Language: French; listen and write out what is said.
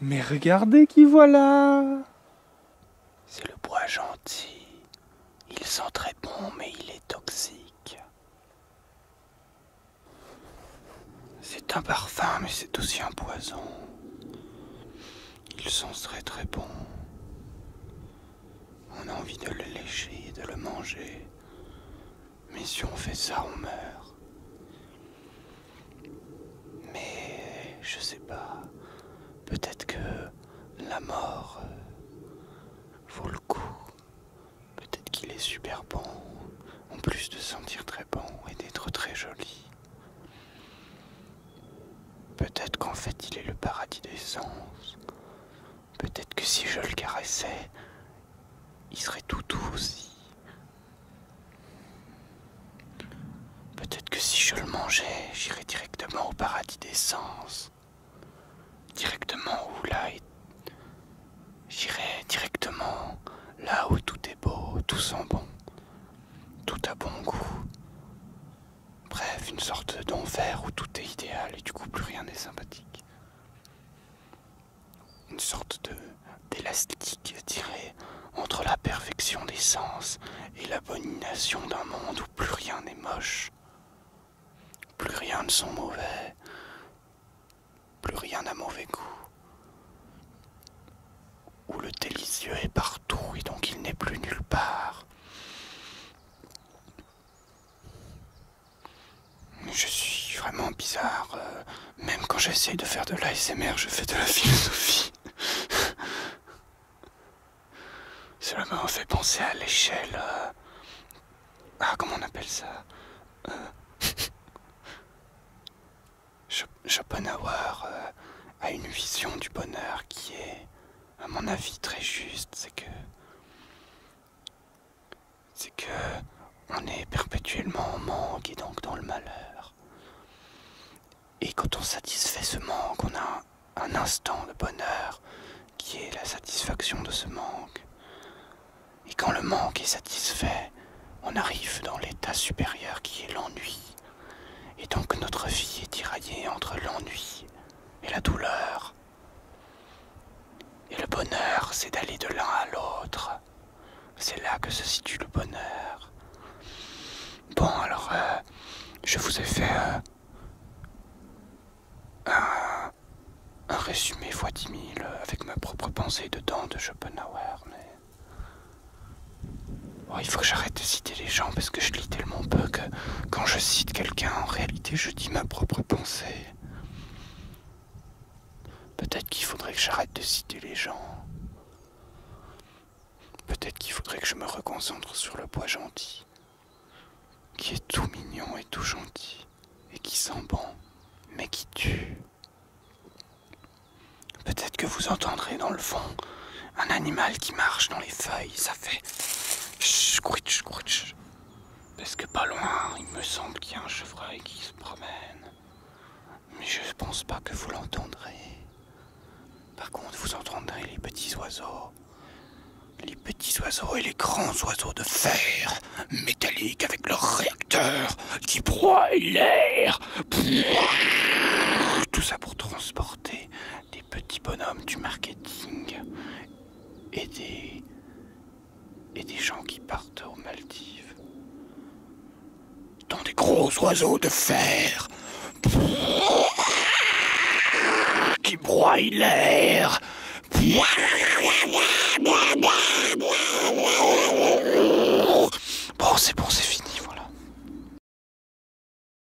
Mais regardez qui voilà C'est le bois gentil. Il sent très bon, mais il est toxique. C'est un parfum, mais c'est aussi un poison. Il sent très très bon. On a envie de le lécher et de le manger. Mais si on fait ça, on meurt. Mais je sais pas. Peut-être que la mort euh, vaut le coup. Peut-être qu'il est super bon. En plus de sentir très bon et d'être très joli. Peut-être qu'en fait il est le paradis des sens. Peut-être que si je le caressais, il serait tout doux aussi. Peut-être que si je le mangeais, j'irais directement au paradis des sens. Directement où là J'irais directement là où tout est beau, tout sent bon, tout a bon goût. Bref, une sorte d'enfer où tout est idéal et du coup plus rien n'est sympathique une sorte d'élastique tiré entre la perfection des sens et l'abomination d'un monde où plus rien n'est moche, plus rien ne sont mauvais, plus rien n'a mauvais goût, où le délicieux est partout et donc il n'est plus nulle part. Je suis vraiment bizarre. Euh, même quand j'essaye de faire de l'ASMR, je fais de la philosophie. Cela m'a fait penser à l'échelle. Euh, ah, comment on appelle ça euh, Schopenhauer a une vision du bonheur qui est, à mon avis, très juste. C'est que c'est que on est perpétuellement en manque et donc dans le malheur. Et quand on satisfait ce manque, on a un instant de bonheur qui est la satisfaction de ce manque. Et quand le manque est satisfait, on arrive dans l'état supérieur qui est l'ennui. Et donc notre vie est tiraillée entre l'ennui et la douleur. Et le bonheur, c'est d'aller de l'un à l'autre. C'est là que se situe le bonheur. Bon, alors, euh, je vous ai fait euh, un, résumé fois 10 euh, avec ma propre pensée dedans de Schopenhauer. Oh, il faut que j'arrête de citer les gens parce que je lis tellement peu que quand je cite quelqu'un, en réalité, je je dis ma propre pensée. Peut-être qu'il faudrait que j'arrête de citer les gens. Peut-être qu'il faudrait que je me reconcentre sur le bois gentil, qui est tout mignon et tout gentil, et qui sent bon, mais qui tue. Peut-être que vous entendrez dans le fond un animal qui marche dans les feuilles, ça fait... Parce que pas loin, il me semble qu'il y a un chevreuil qui se promène. Mais je pense pas que vous l'entendrez. Par contre, vous entendrez les petits oiseaux. Les petits oiseaux et les grands oiseaux de fer, métalliques avec leurs réacteur qui broie l'air. Tout ça pour transport des petits bonhommes du marketing et des, et des gens qui partent aux Maldives. Dans des gros oiseaux de fer qui broient l'air. Bon, c'est bon, c'est fini. voilà.